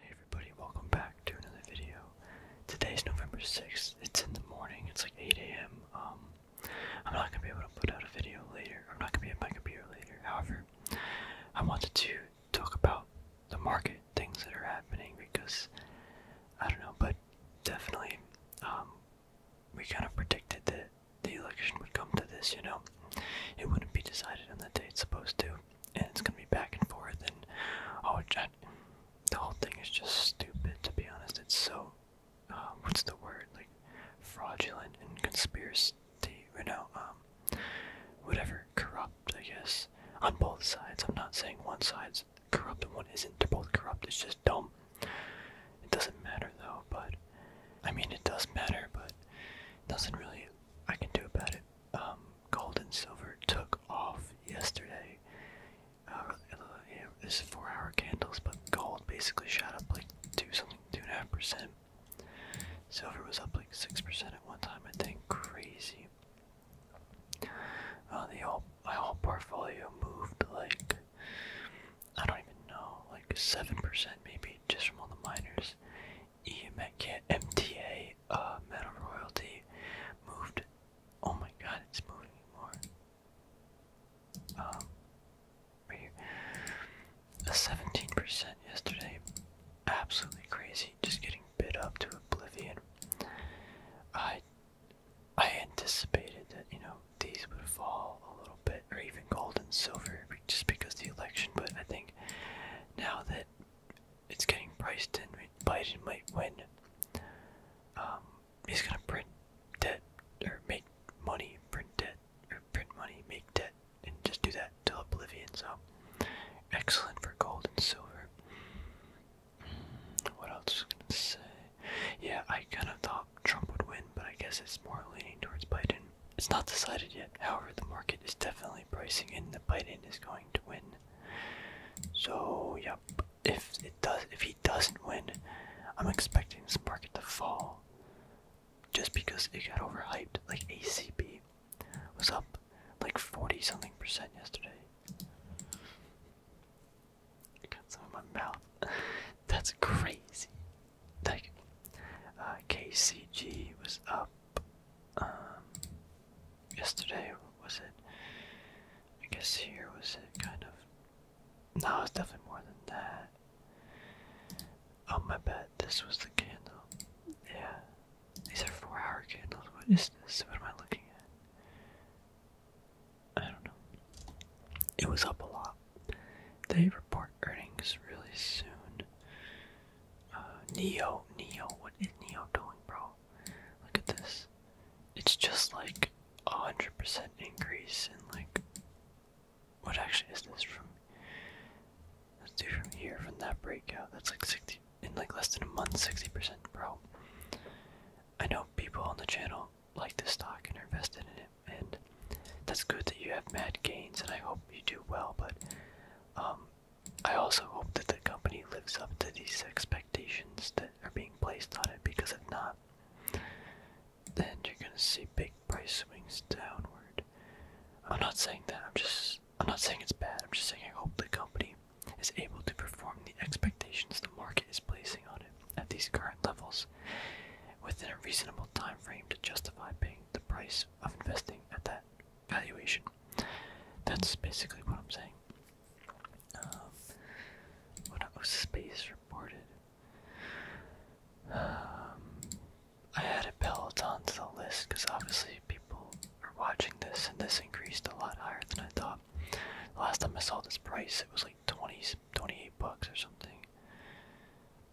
Hey everybody, welcome back to another video. Today's November 6th. It's in the morning. It's like 8 a.m. Um, I'm not gonna be able to put out a video later. I'm not gonna be at my computer later. However, I wanted to talk about the market, things that are happening because I don't know, but definitely um, we kind of predicted that the election would come to this, you know. It wouldn't be decided on the day it's supposed to and it's gonna be back and forth, and oh, I, the whole thing is just stupid. To be honest, it's so uh, what's the word like fraudulent and conspiracy, you know, um, whatever, corrupt. I guess on both sides. I'm not saying one side's corrupt and one isn't. They're both corrupt. It's just dumb. It doesn't matter though, but I mean, it does matter, but nothing really I can do about it um, gold and silver took off yesterday. Uh, you this four hour candles, but gold basically shot up like two something, two and a half percent. Silver was up like six percent at one time, I think. Crazy. Uh, the whole my whole portfolio moved like I don't even know, like seven percent maybe, just from all the miners. EMTA uh, Metal Royalty moved. Oh my god, it's moving more. Um, A 17% yesterday. Absolutely crazy. Just getting bit up to oblivion. I I anticipated that, you know, these would fall a little bit, or even gold and silver, just because the election, but I think now that it's getting priced in. Biden might win. Um, he's gonna print debt or make money, print debt or print money, make debt, and just do that till oblivion. So excellent for gold and silver. What else was gonna say? Yeah, I kind of thought Trump would win, but I guess it's more leaning towards Biden. It's not decided yet. However, the market is definitely pricing in the Biden is going to win. So yep, if it does, if he doesn't win, I'm expecting this market to fall, just because it got overhyped. Like ACP was up like forty something percent yesterday. got some in my mouth. That's crazy. Like uh, KCG was up um, yesterday was it? I guess here was it kind of. No, it's definitely more than that. Oh my bad, this was the candle. Yeah, these are four-hour candles. What is this? What am I looking at? I don't know. It was up a lot. They report earnings really soon. Uh, Neo, Neo, what is Neo doing, bro? Look at this. It's just like a hundred percent increase in like what actually is this from That's us from here from that breakout. That's like sixty in like less than a month, sixty percent, bro. I know people on the channel like this stock and are invested in it and that's good that you have mad gains and I hope you do well, but um I also hope that the company lives up to these expectations that are being placed on it because if not, then you're gonna see big price swings downward. I'm not saying that, I'm just I'm not saying it's bad, I'm just saying I hope the company is able to perform the expectations the market is placing on it at these current levels within a reasonable time frame to justify paying the price of investing at that valuation. That's basically what I'm saying. Um, what Space reported. Um, I added Peloton to the list because obviously people are watching this, and this increased a lot higher than I thought. The last time I saw this price, it was like 20, bucks or something.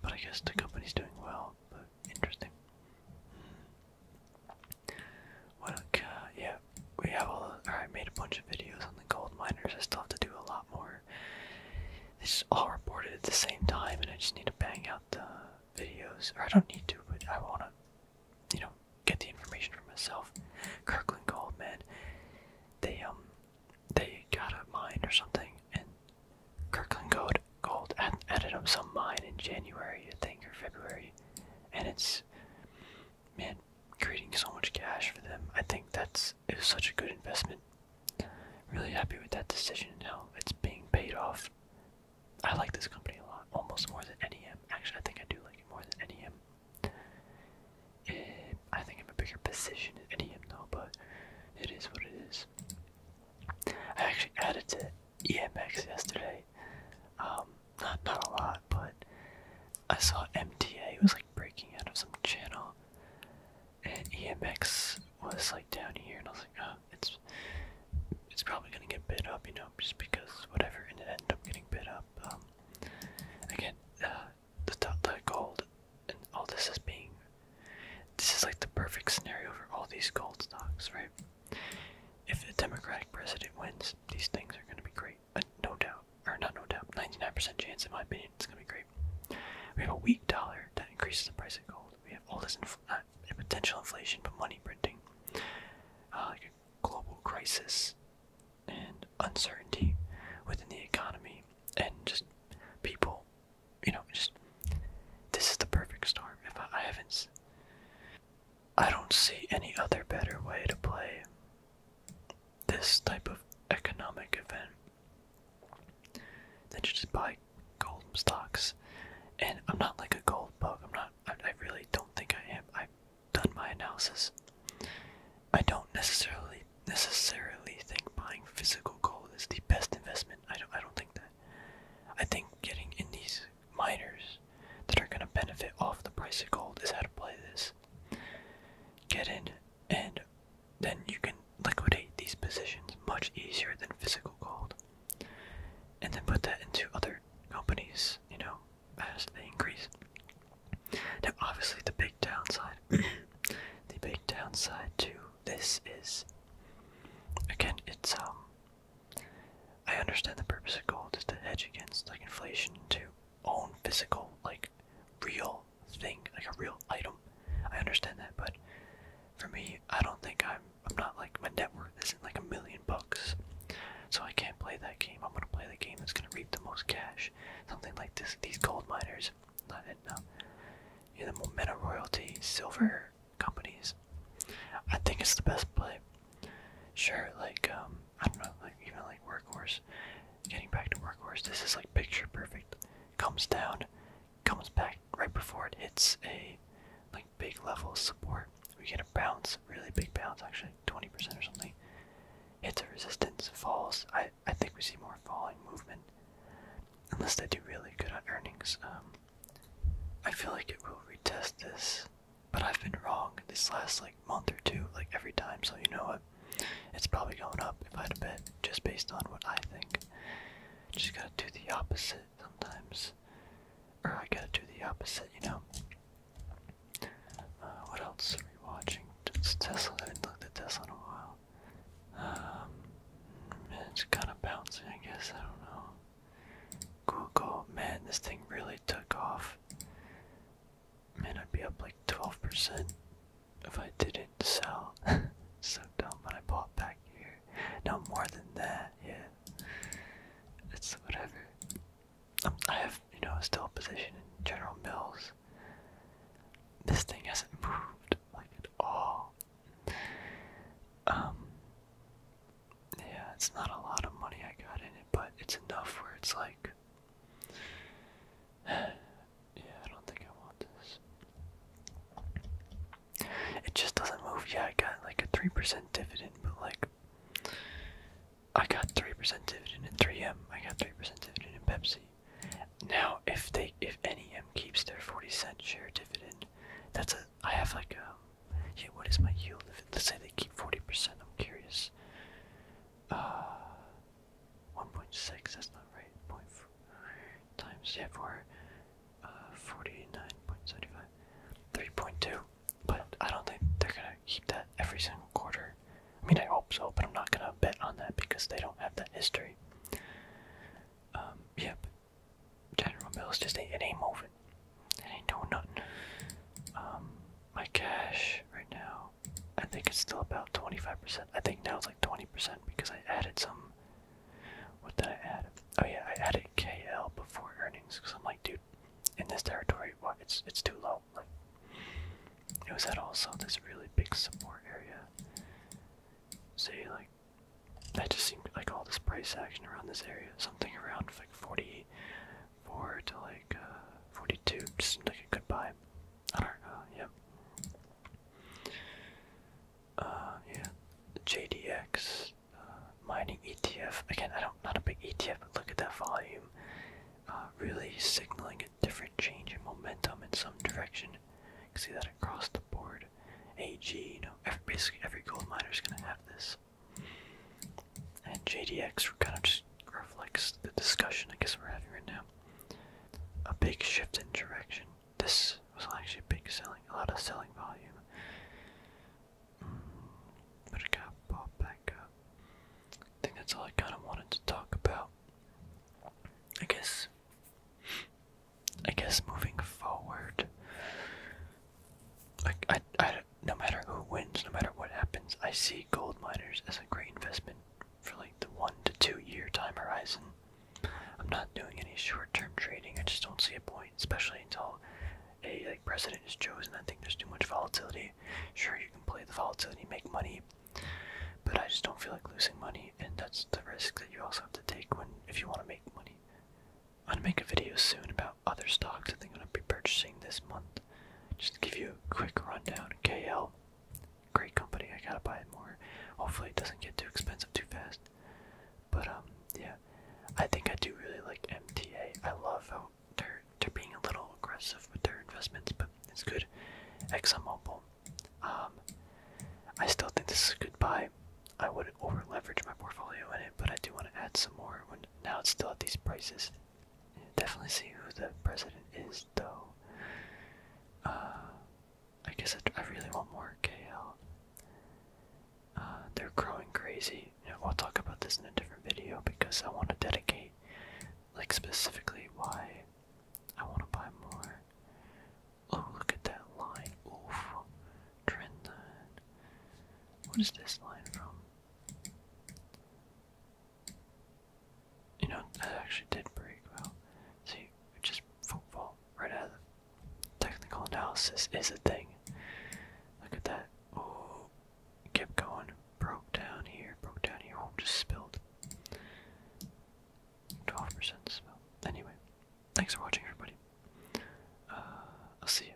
But I guess the company's doing well. interesting. What? yeah, we have all. I made a bunch of videos on the gold miners. I still have to do a lot more. They just all reported at the same time, and I just need to bang out the videos. Or I don't need to, but I wanna, you know, get the information for myself. Kirkland Gold, man. They um, they got a mine or something, and Kirkland Gold Gold added up some mine in January, I think, or February and it's man creating so much cash for them. I think that's it's such a good investment. Really happy with that decision and how it's being paid off. I like this company a lot, almost more than NEM. Actually, I think I do like it more than NEM. It, eh, I think I'm a bigger position in NEM though, but it is what it is. I actually added to EMX yesterday. Um, not not a lot, but I saw MTA It was like breaking out of some channel, and EMX was like down here, and I was like, oh, it's it's probably gonna get bid up, you know, just because whatever, and it ended up getting bid up. Um, again, uh, the the gold and all this is being this is like the perfect scenario for all these gold stocks, right? If the Democratic president wins, these things are going to be great. Uh, no doubt. Or not no doubt. 99% chance, in my opinion, it's going to be great. We have a weak dollar that increases the price of gold. We have all this not uh, potential inflation, but money printing. Uh, like a global crisis and uncertainty within the economy and just people, you know, just this is the perfect storm. If I haven't, I don't see any other better way to play this type of economic event than just buy gold stocks. And I'm not like a gold bug. I'm not. I, I really don't think I am. I've done my analysis. I don't necessarily necessarily think buying physical gold is the best investment. I don't. I don't think that. I think getting in these miners that are going to benefit off the price of gold is how to play this. Get in, and then you can liquidate these positions much easier than physical gold. And then put that into other companies, you know, as they increase. Now, obviously, the big downside, the big downside to this is, again, it's um, I understand the purpose of gold is to hedge against like inflation to own physical, like real thing, like a real item. I understand that, but for me, I don't think I'm I'm not like my net worth isn't like a million bucks. So I can't play that game. I'm gonna play the game that's gonna reap the most cash. Something like this these gold miners. Not it now. Yeah, the Momenta Royalty Silver companies. I think it's the best play. Sure, like um, I don't know, like even like workhorse. Getting back to workhorse, this is like picture perfect. Comes down, comes back right before it hits a like big level support. We get a bounce, really big bounce, actually 20% or something. Hits a resistance, falls. I I think we see more falling movement, unless they do really good on earnings. Um, I feel like it will retest this but I've been wrong this last like month or two, like every time. So you know what? It's probably going up if I had a bet, just based on what I think. Just gotta do the opposite sometimes, or I gotta do the opposite, you know. Uh, what else are we watching? It's Tesla. I haven't looked at Tesla in a while. Um, it's kind of bouncing, I guess. I don't know. Google, man, this thing really took off. Man, I'd be up like 12% if I didn't sell. so dumb, but I bought back here. No more than that, yeah. It's whatever. Um, I have, you know, still position in General Mills. This thing hasn't moved like at all. Um, yeah, it's not a lot of money I got in it, but it's enough where it's like, yeah, I don't think I want this. It just doesn't move. Yeah, I got like a 3% dividend, but like, I got 3% dividend in 3M, I got 3% dividend in Pepsi. Now, if they, if any M keeps their 40 cent share dividend, that's a, I have like a, um, yeah, what is my yield? If it, let's say they keep 40%, I'm curious. Uh, 1.6, that's not right. Point four times, yeah, for uh, 49.75. 3.2. But I don't think they're gonna keep that every single quarter. I mean, I hope so, but I'm not gonna bet on that because they don't have that history. Um, yeah, General Mills just ain't, ain't moving. I ain't Um, my cash right now, I think it's still about 25%. I think now it's like 20% because I added some. What did I add? Oh yeah, I added KL before earnings because I'm like, dude, in this territory, It's it's too low. Like, it was at also this really big support area. Say like, that just seemed like all this price action around this area, something around like 40, 4 to like uh, 42, just seems like a good buy. I don't know, yeah. Uh, yeah, JDX, uh, mining ETF. Again, I don't, not a big ETF, but look at that volume. Uh, really signaling a different change in momentum in some direction. You can see that across the board. AG, you know, basically every gold miner is going to have this. And JDX kind of just reflects the discussion I guess we're having right now. A big shift in direction. This was actually a big selling, a lot of selling volume. Mm, but it got popped back up. I think that's all I kind of wanted to talk about. I guess. I guess moving forward, I, I, I, no matter who wins, no matter what happens, I see gold miners as a great investment for like the one to two year time horizon. I'm not doing any short term trading. I just don't see a point, especially until a like president is chosen. I think there's too much volatility. Sure, you can play the volatility, make money, but I just don't feel like losing money, and that's the risk that you also have to take when if you want to make money. I'm gonna make a video soon about other stocks that I'm gonna be purchasing this month. Just to give you a quick rundown. KL, great company. I gotta buy it more. Hopefully, it doesn't get too expensive too fast. But um, yeah, I think I do really like MTA. I love how they're they're being a little aggressive with their investments, but it's good. ExxonMobil. Um, I still think this is a good buy. I would over leverage my portfolio in it, but I do want to add some more when now it's still at these prices definitely see who the president is, though. Uh, I guess I, really want more KL. Uh, they're growing crazy. You I'll talk about this in a different video because I want to dedicate, like, specifically why I want to buy more. Oh, look at that line. Oof. Trend What is this line from? You know, that actually did break well. See, just football right out of the technical analysis is a thing. Look at that. Oh, kept going. Broke down here, broke down here. Oh, just spilled. 12% spill. Anyway, thanks for watching, everybody. Uh, I'll see you.